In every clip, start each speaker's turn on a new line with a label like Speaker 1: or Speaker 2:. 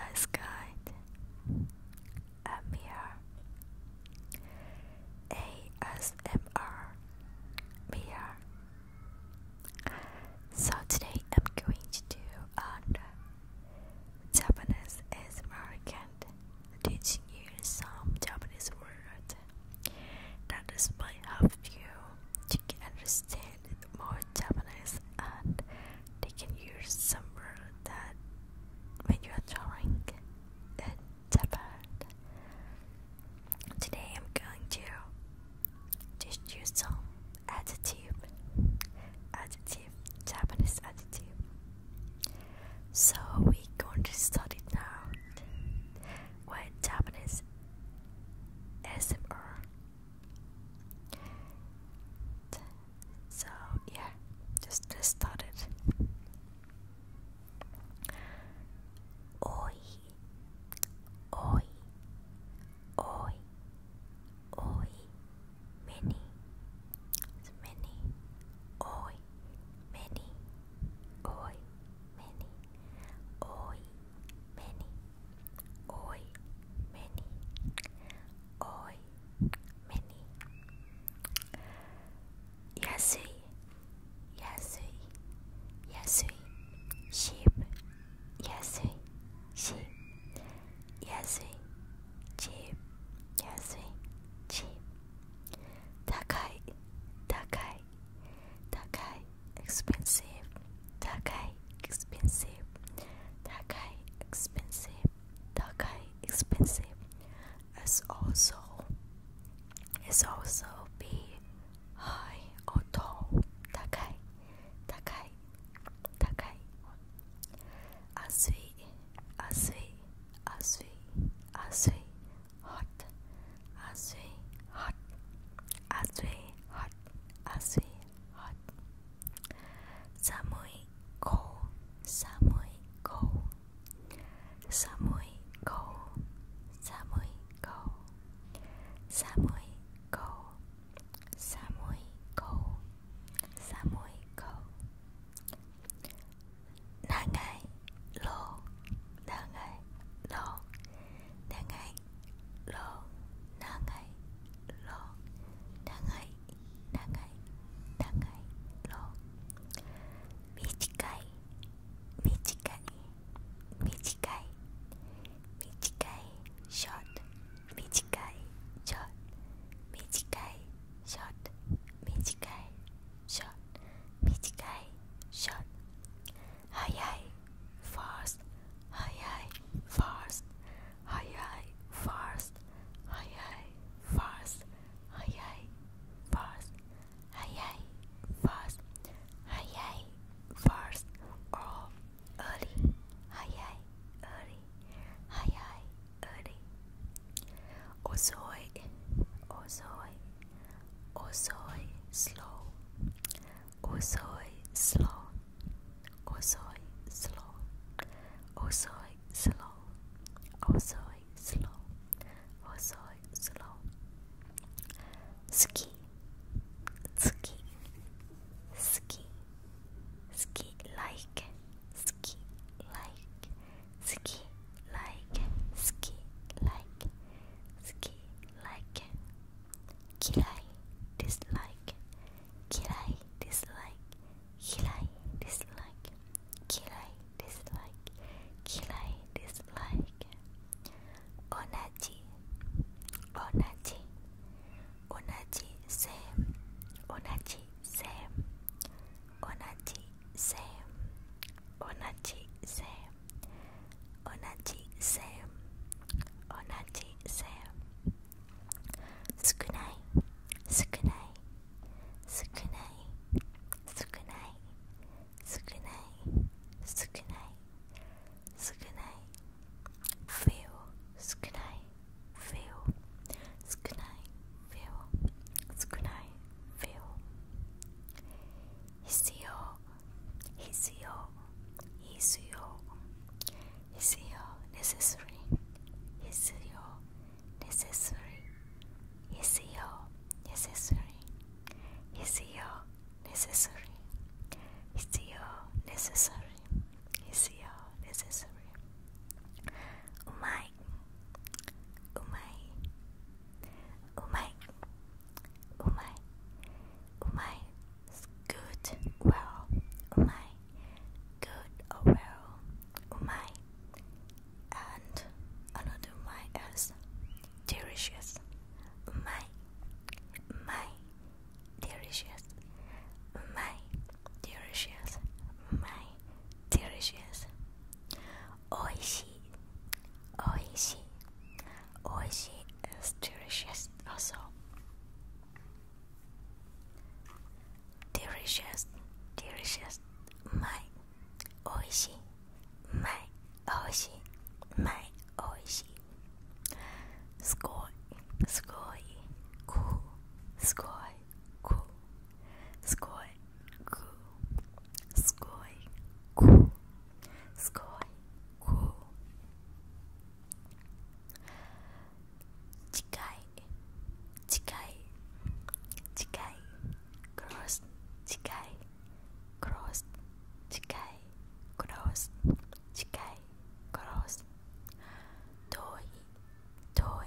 Speaker 1: A sky, a ASMR, mirror. So today I'm going to do a. Japanese is American, teaching you some Japanese words. That is my help you to understand more Japanese and they can use some word that when you are drawing in Japan. Today I'm going to teach you some adjective adjective Japanese adjective so we are going to study now what Japanese SMR so yeah just let start it Oi, oi, oi, hoy, many, many, hoy, many, hoy, many, hoy, many, hoy, many, hoy, many, yasui, sheep, sheep, cheap, 安い cheap 高い、高い、高い expensive 高い expensive 高い expensive 高い expensive as also is also be high or tall 高い、高い高い熱い熱い熱い熱い hot 熱い hot 熱い hot 熱い hot 寒い cold 寒い cold 寒い cold 寒い cold 寒い cold 寒い cold 寒い顔長いろう長いろう長いろう長いろう長い長い長いろう短い短い短い短い short 短いショット短いショット短いショット短いショット速い fast 速い fast 速い fast 速い fast 速い fast 速い fast 速い fast or early 速い öri, hayai, öri. Osoi, osoi, osoi, slow. Osoi, slow. Osoi, slow. Osoi, slow. Osoi, slow. Osoi, slow. Ski, ski, ski ski like ski like ski like ski like ski like kirai dislike kirai dislike kirai dislike kirai dislike kirai dislike onaji onaji 同じせ線同じせ線同じせ線同じせ線同じせ線同じせ線少ない少ない少ない少ない少ない少ない少ない feel 少ない feel, skunai feel, skunai feel. Hisio, hisio, hisio, hisio, necessary, hisio, necessary, hisio, necessary, hisio, necessary, hisio, necessary, hisio, necessary. うまいうまいうまいうまいうまい good well うまい good oh, well うまい and another うまい is delicious うまいうまい delicious うまい delicious うまい delicious. Oishi, oishi, oishi delicious also. Delicious, delicious, my oishi, my oishi, my oishi. Sugoi, cool, ku, skoj, ku, skoj, ku, skoj, ku. Chikai, chikai, chikai, cross, chikai, cross, chikai, cross, chikai, cross. Toy, toy.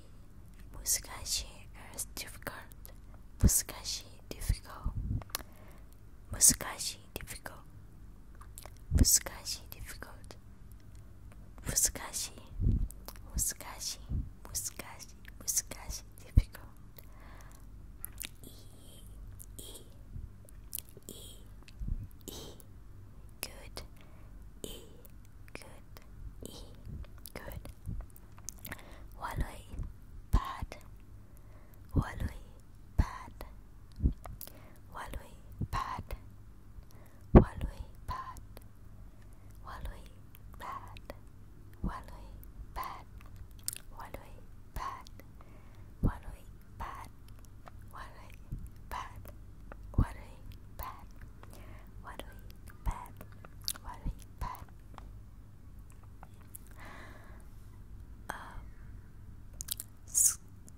Speaker 1: Muskashi is difficult. Muskashi difficult. Muskashi difficult. Muskashi difficult. Muskashi. Muskashi. Muskashi. Muskashi difficult. E e e e good. E good. E good. Walloy bad Walloy bad Walloy bad Walloy bad Walloy bad Walloy bad Walloy bad Walloy bad Walloy bad Walloy bad Walloy bad um,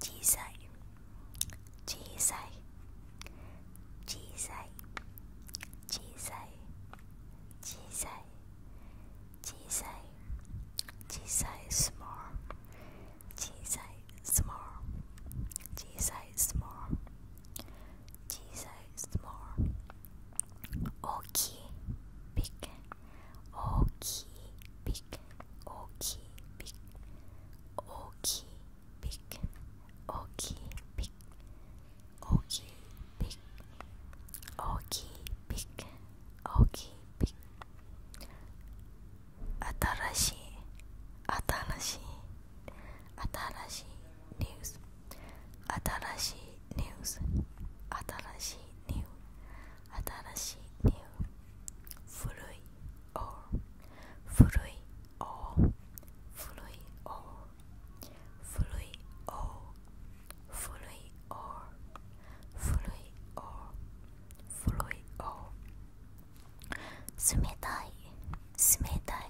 Speaker 1: Jisai, Jisai, small, 小さい small 大きい big 大きい big 大きい big 大きい big 大きい big 大きい big 大きい big 大きい big 新しい新しい新しいニュース新しいニュース新しいニュー新しいニュー古い or 古い or 古い or 古い or 古い or 古い or 古い or 冷たい冷たい冷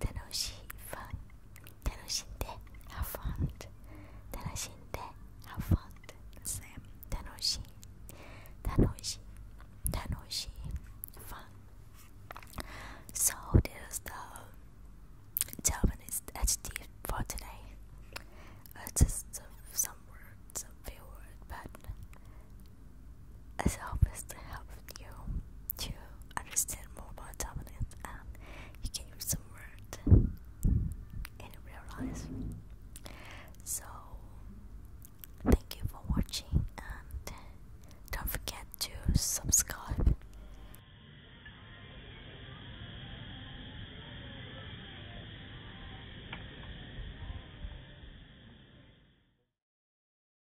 Speaker 1: 楽しいファン楽しんで have fun 楽しんで fun 楽しい楽しい楽しい fun So this the Japanese adjective for today Just some words, a few words, but as always, to help you to understand more about dominance and you can use some word in real life. So, thank you for watching and don't forget to subscribe.